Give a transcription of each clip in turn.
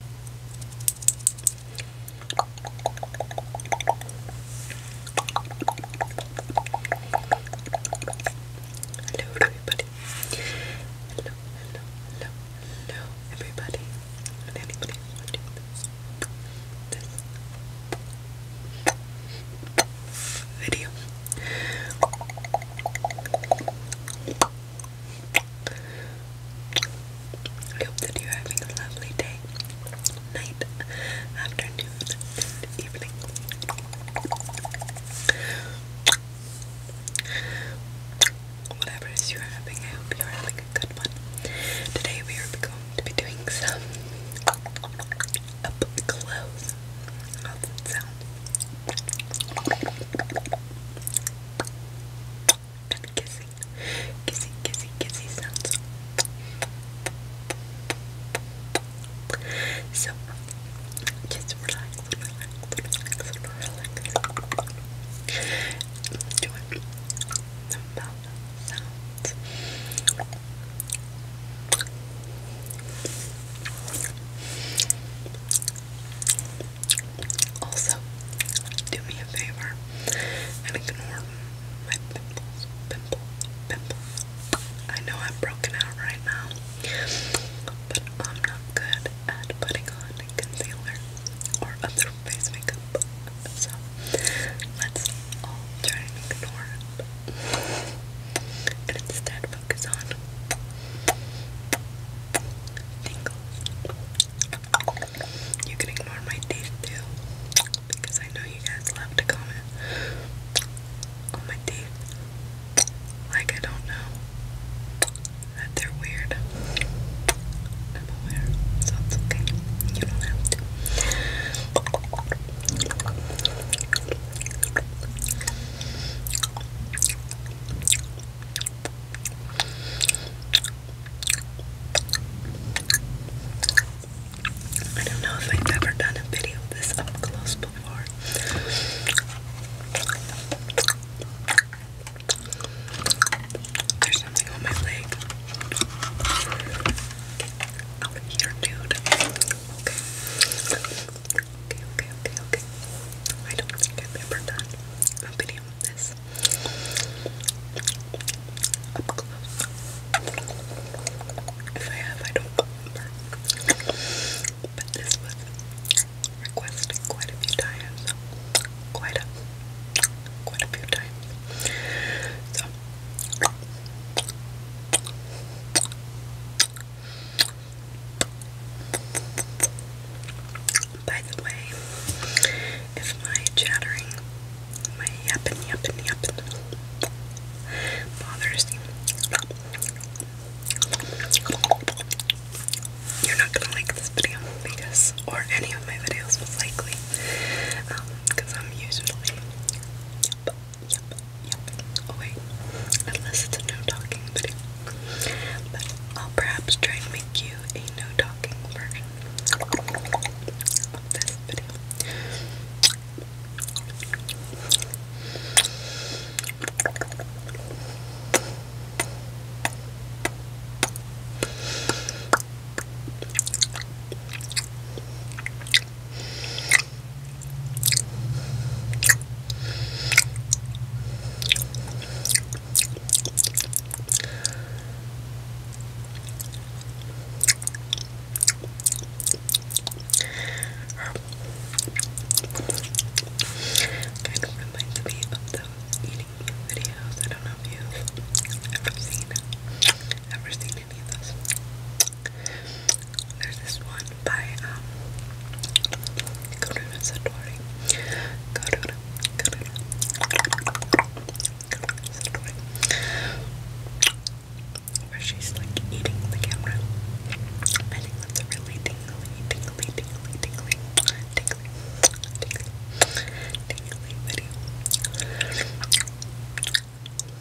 Hello, everybody. Hello, hello, hello, hello, everybody. And anybody this video. I hope that you're having a lovely day, night, afternoon, evening. Whatever it is you're having, I hope you're having a good one. Today we are going to be doing some up close. How's it sound? and kissing, kissing, kissing, kissy sounds. So just relax, relax, relax, relax. Enjoy the mouth sounds. Also, do me a favor and ignore my pimples, pimple, pimple. I know I'm broken out right now, but I'm not good at putting on concealer or other face makeup. So let's all try and ignore it and instead focus on tingles. You can ignore my teeth too, because I know you guys love to comment on my teeth. Like I don't know that they're weird. I'm aware, so it's okay. You don't have to. I don't know if I've ever done a video this up close before. There's something on my leg. Get here, dude. Okay okay, okay, okay, okay. I don't think I've ever done a video of this up close. If I have, I don't remember. But this was requested quite a few times. Quite a, quite a few times. So. By the way, if my chattering, my yapping, yapping, yapping bothers you, you're not gonna like this video because, or any of my videos, most likely, because um, I'm usually yep, yep, Yep. Oh wait. Unless it's a no talking video. I'll perhaps try and make you a no talking version Kind of reminds me of eating videos. I don't know if you've ever seen, ever seen any there's this one by um Karuna Satori. Karuna, Karuna, Satori. Where she's like eating the camera. I think that's a really tingly, tingly, tingly, tingly, tingly, tingly, tingly video.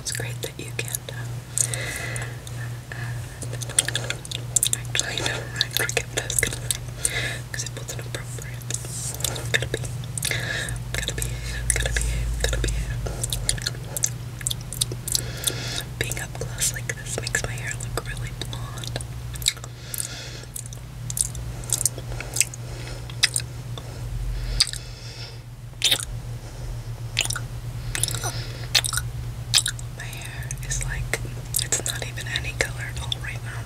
It's great that you can uh, uh actually no, I forget what I was gonna say because it wasn't appropriate. I'm gonna be, i to be, i to be, i to be. Being up close like this makes my hair look really blonde. My hair is like, it's not even any color at all right now.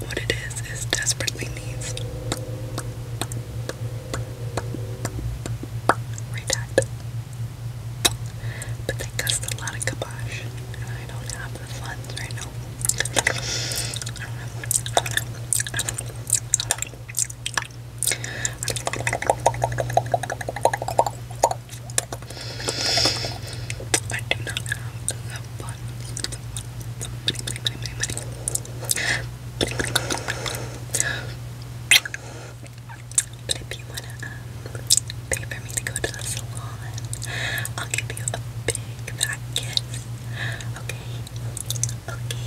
What it is is desperately needs redat. But they cost a lot of kibosh, and I don't have the funds right now. I do not have the funds, the money, money, money, money, But if you wanna um, pay for me to go to the salon, I'll give you a big fat kiss. Okay? Okay.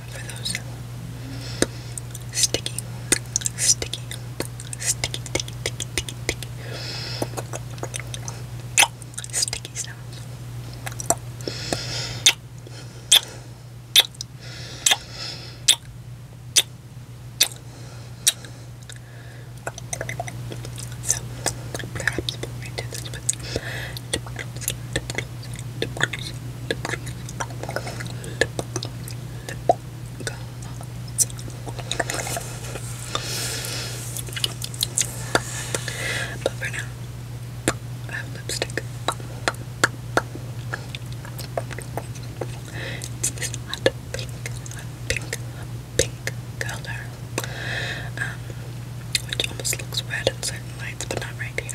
for those sticky, sticky, sticky, sticky, sticky, sticky, sticky sounds. So, perhaps we this but for now, I have lipstick. It's this hot pink, hot pink, hot pink color, um, which almost looks red in certain lights, but not right here.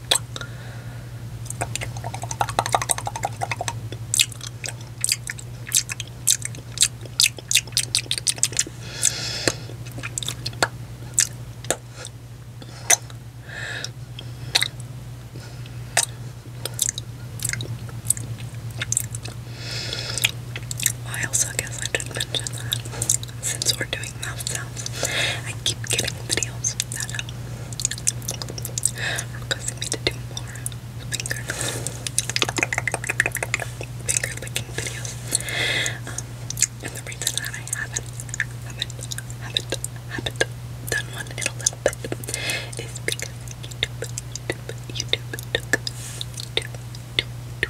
I also guess I did not mention that since we're doing mouth sounds. I keep getting videos that are uh, requesting me to do more finger licking videos. Um, and the reason that I haven't haven't haven't haven't done one in a little bit is because YouTube YouTube YouTube YouTube YouTube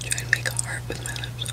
Try and make a heart with my lips.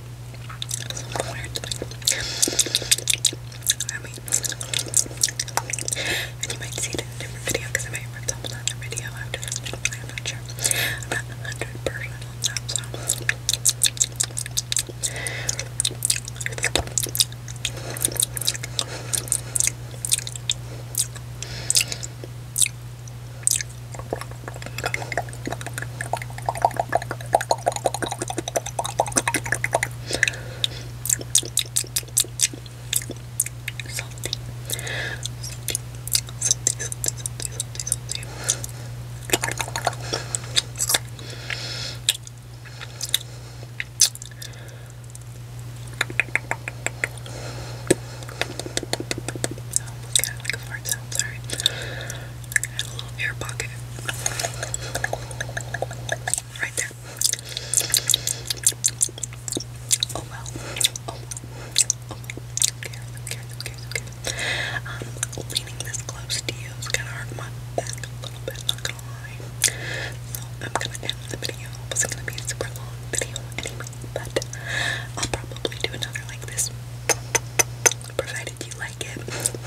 I and you might see it in a different video because I might rip up another video after this video. I'm not sure. I'm not 100% on that, Salty. Salty. Salty, salty, salty, salty, salty. Oh, look at it like a fart sound, sorry and a little air pocket right there. Oh well. Oh well. Oh well. Who Um, leaning this close to you is gonna hurt my back a little bit, not gonna lie. So I'm gonna end the video. It's gonna be a super long video anyway, but I'll probably do another like this. Provided if you like it.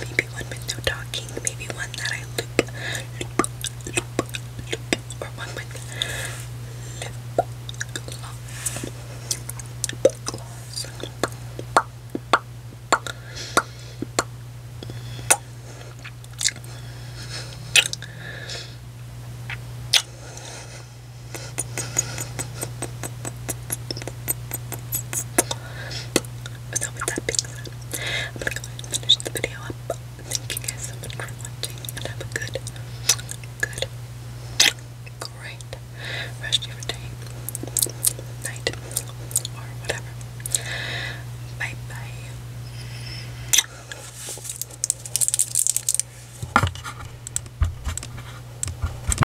Maybe one with no talking, maybe one that I loop, loop, loop, loop, or one with lip gloss. Lip gloss. So with that I'm gonna go and finish the video up. Thank you guys so much for watching and have a good, good, great rest of day, night, or whatever. Bye bye.